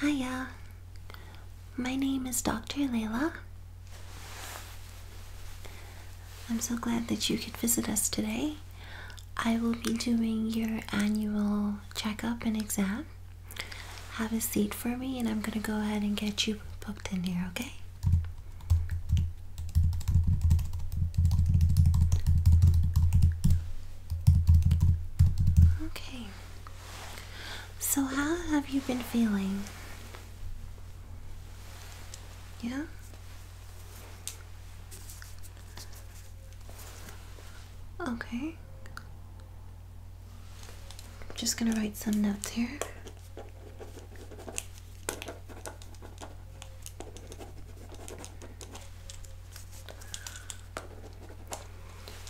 Hiya, my name is Dr. Layla. I'm so glad that you could visit us today. I will be doing your annual checkup and exam. Have a seat for me, and I'm going to go ahead and get you booked in here, okay? Okay, so, how have you been feeling? Yeah? Okay. I'm just gonna write some notes here.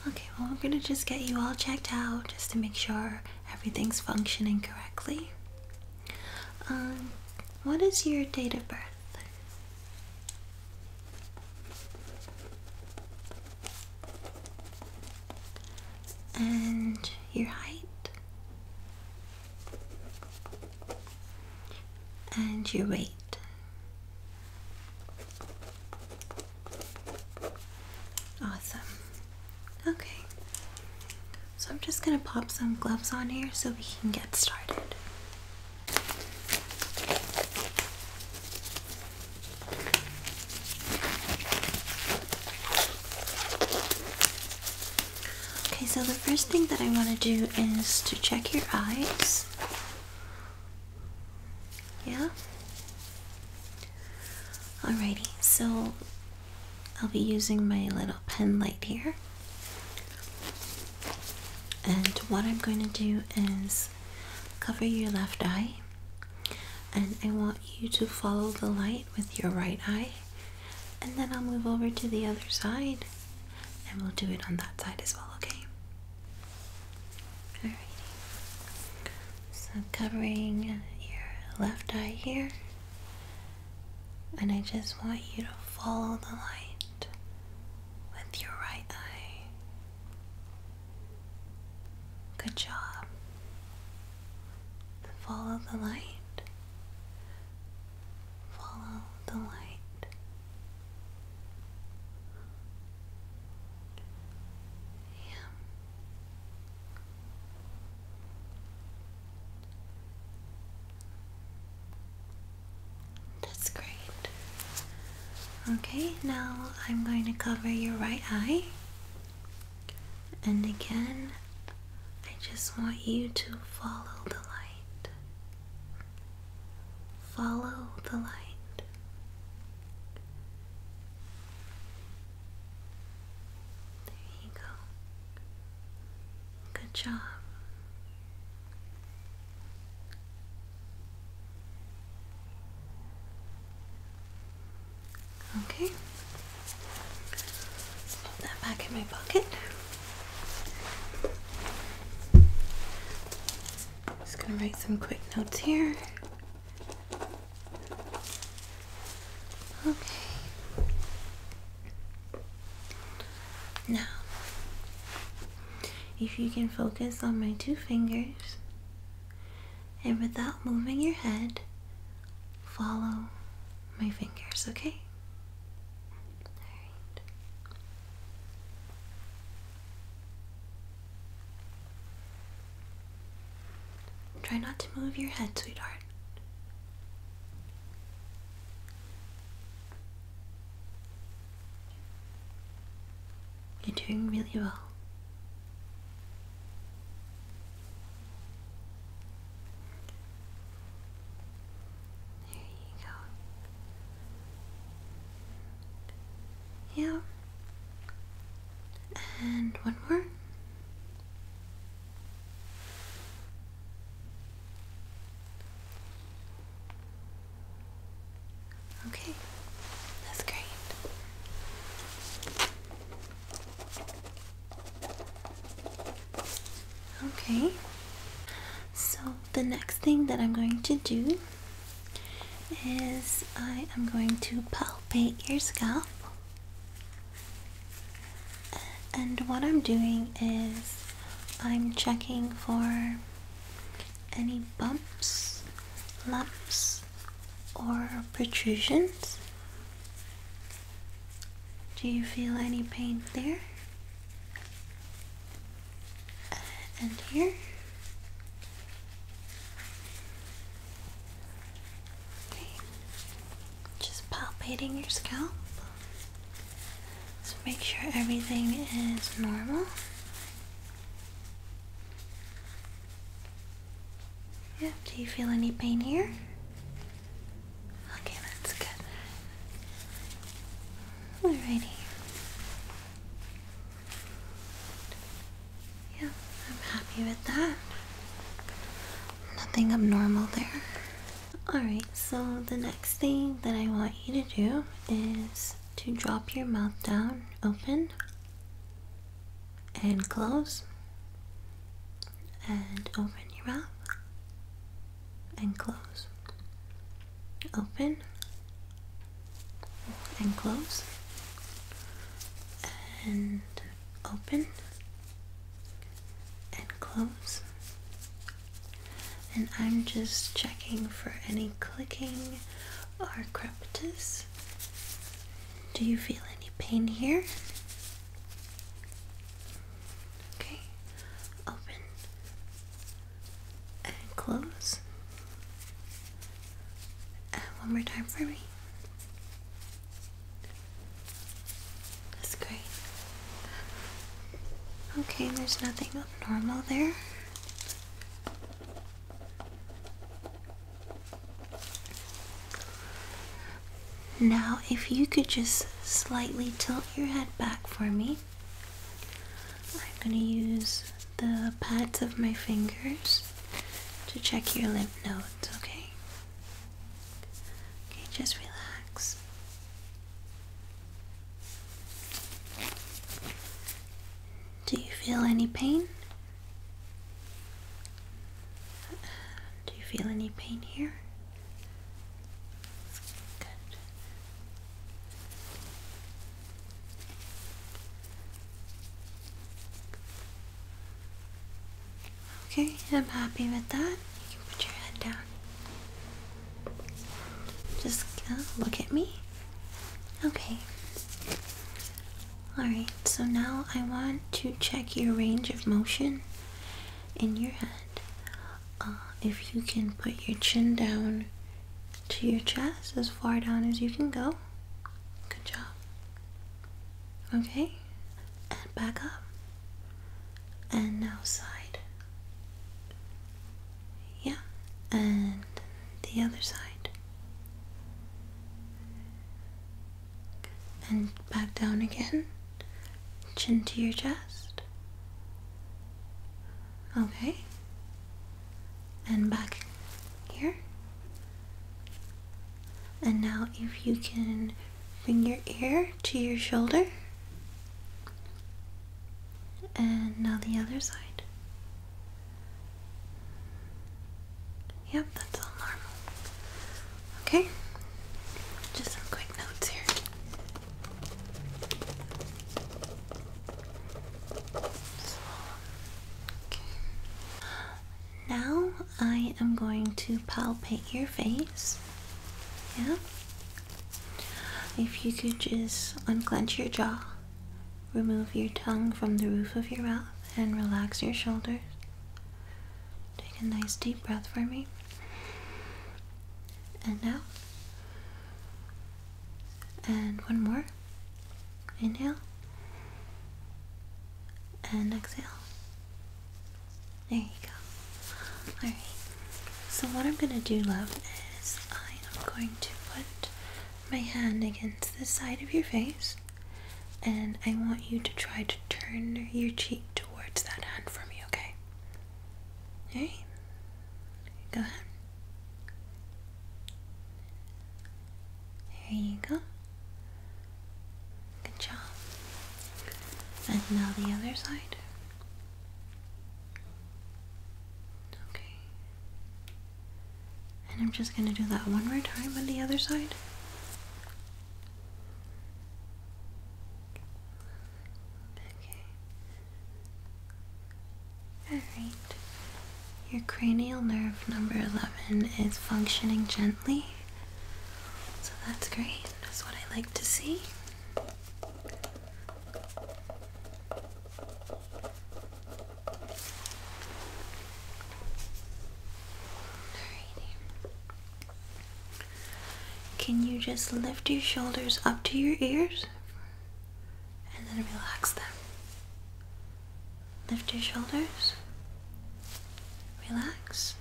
Okay, well, I'm gonna just get you all checked out just to make sure everything's functioning correctly. Um, what is your date of birth? And your height? And your weight? Awesome. Okay. So I'm just going to pop some gloves on here so we can get started. Okay, so the first thing that I want to do is to check your eyes. Yeah? Alrighty, so I'll be using my little pen light here. And what I'm going to do is cover your left eye, and I want you to follow the light with your right eye, and then I'll move over to the other side and we'll do it on that side as well, okay? Alrighty. So covering your left eye here. And I just want you to follow the light with your right eye. Good job. Follow the light. Follow the light. That's great. Okay, now I'm going to cover your right eye. And again, I just want you to follow the light. Follow the light. There you go. Good job. Okay. Put that back in my pocket. Just gonna write some quick notes here. Okay. Now, if you can focus on my two fingers and without moving your head, follow my fingers, okay? Try not to move your head, sweetheart. You're doing really well. There you go. Yeah, and one more. Okay, that's great. Okay, so the next thing that I'm going to do is I am going to palpate your scalp. And what I'm doing is I'm checking for any bumps, lumps, or protrusions. Do you feel any pain there? And here? Just palpating your scalp. So make sure everything is normal. Yeah, do you feel any pain here? Okay, that's good. Alrighty. Yeah, I'm happy with that. Nothing abnormal there. Alright, so the next thing that I want you to do is to drop your mouth down, open and close, and open your mouth and close, open and close and open and close and I'm just checking for any clicking or crepitus. Do you feel any pain here? Okay, open and close uh, one more time for me. That's great. Okay, there's nothing abnormal there. Now, if you could just slightly tilt your head back for me, I'm going to use the pads of my fingers to check your lymph nodes, okay? Okay, just relax. Do you feel any pain? Do you feel any pain here? Good. Okay, I'm happy with that. put your head down. Just look at me. Okay. Alright, so now I want to check your range of motion in your head. Uh, if you can put your chin down to your chest as far down as you can go. Good job. Okay, and back up, and now side. Yeah, and the other side, and back down again, chin to your chest. Okay, and back here. And now, if you can bring your ear to your shoulder, and now the other side. Yep, that's all normal. Okay, just some quick notes here. okay. Now I am going to palpate your face. Yeah? If you could just unclench your jaw, remove your tongue from the roof of your mouth, and relax your shoulders. Take a nice deep breath for me. And now. And one more. Inhale and exhale. There you go. Alright, so what I'm going to do, love, is I am going to put my hand against the side of your face and I want you to try to turn your cheek towards that hand for me, okay? Alright, go ahead. There you go. Good job. And now the other side. Okay. And I'm just going to do that one more time on the other side. Okay. Alright. Your cranial nerve number 11 is functioning gently. So that's great. That's what I like to see. Can you just lift your shoulders up to your ears and then relax them? Lift your shoulders. Relax.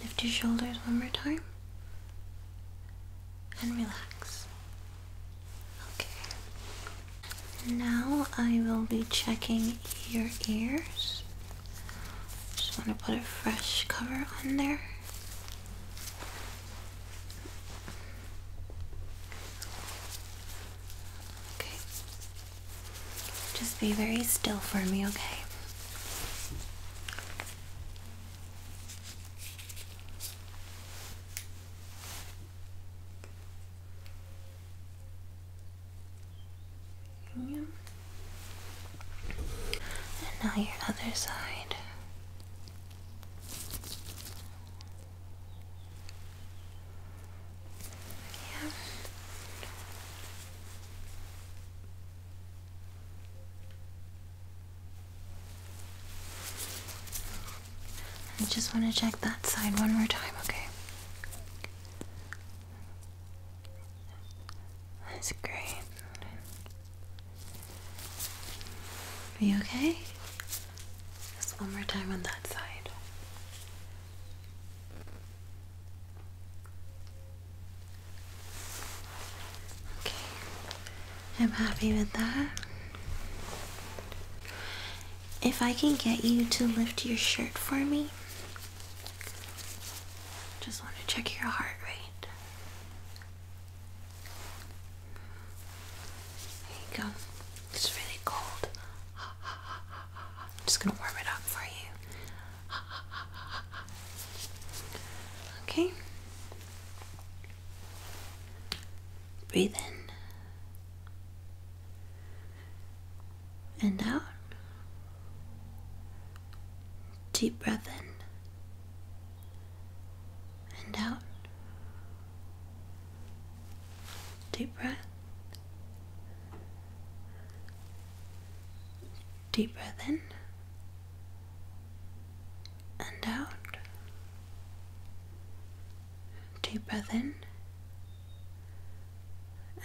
Lift your shoulders one more time. And relax. Okay. Now I will be checking your ears. Just want to put a fresh cover on there. Just be very still for me, okay? And now your other side. I just want to check that side one more time, okay? That's great. Are you okay? Just one more time on that side. Okay, I'm happy with that. If I can get you to lift your shirt for me, just want to check your heart rate. There you go. It's really cold. I'm just going to warm it up for you. Okay. Breathe in and out. Deep breath in and out. Deep breath. Deep breath in and out. Deep breath in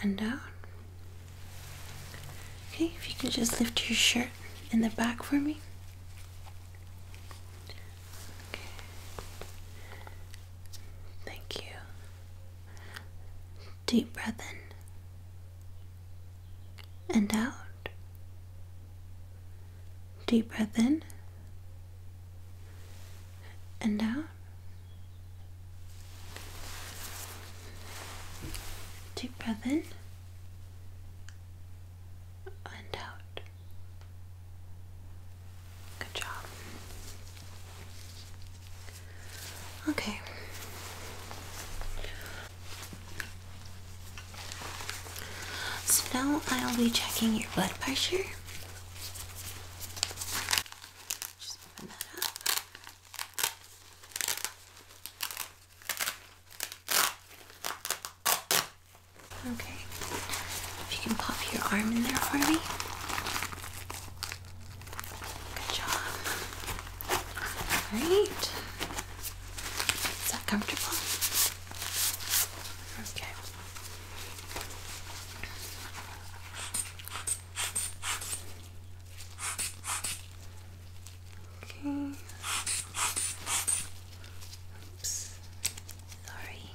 and out. Okay, if you can just lift your shirt in the back for me. Thank you. Deep breath in and out. Deep breath in and out. Deep breath in and out. Good job. Okay. So now I'll be checking your blood pressure. Just open that up. Okay. If you can pop your arm in there for me. Good job. Alright. Is that comfortable? Okay. Okay. Oops. Sorry.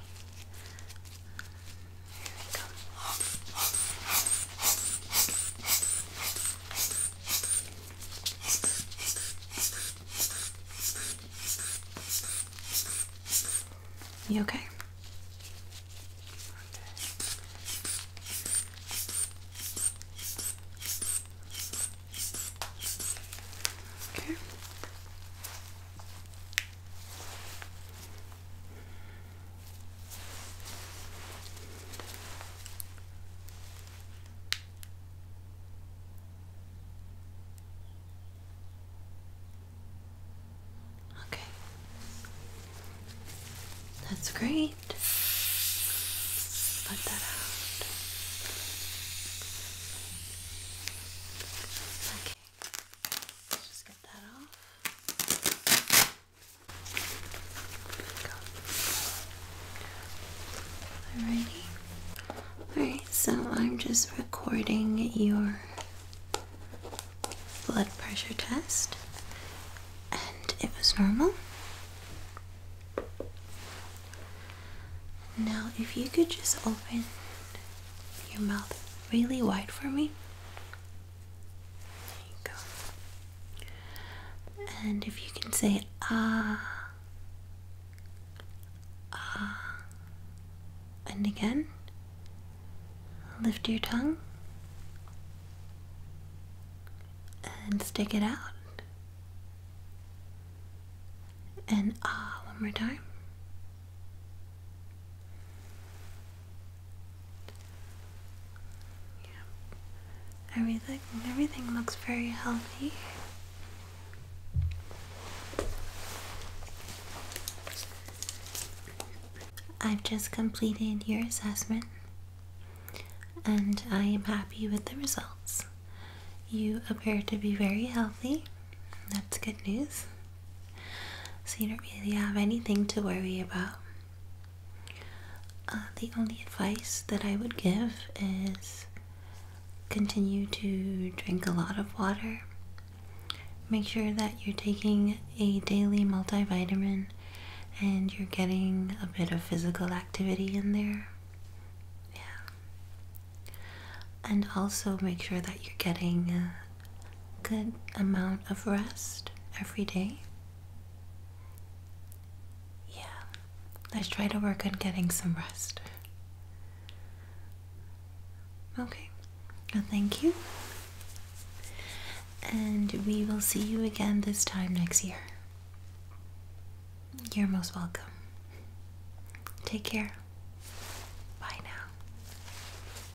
You okay. Okay. Okay. That's great. Let that out. Okay. Alrighty. Alright, so I'm just recording your blood pressure test, and it was normal. Now, if you could just open your mouth really wide for me. There you go. And if you can say ah, ah, and again, lift your tongue and stick it out. And ah, one more time. Everything everything looks very healthy. I've just completed your assessment and I am happy with the results. You appear to be very healthy. That's good news. So you don't really have anything to worry about. Uh, the only advice that I would give is continue to drink a lot of water. Make sure that you're taking a daily multivitamin and you're getting a bit of physical activity in there. Yeah. And also make sure that you're getting uh, good amount of rest every day? Yeah, let's try to work on getting some rest. Okay, well, thank you. And we will see you again this time next year. You're most welcome. Take care. Bye now.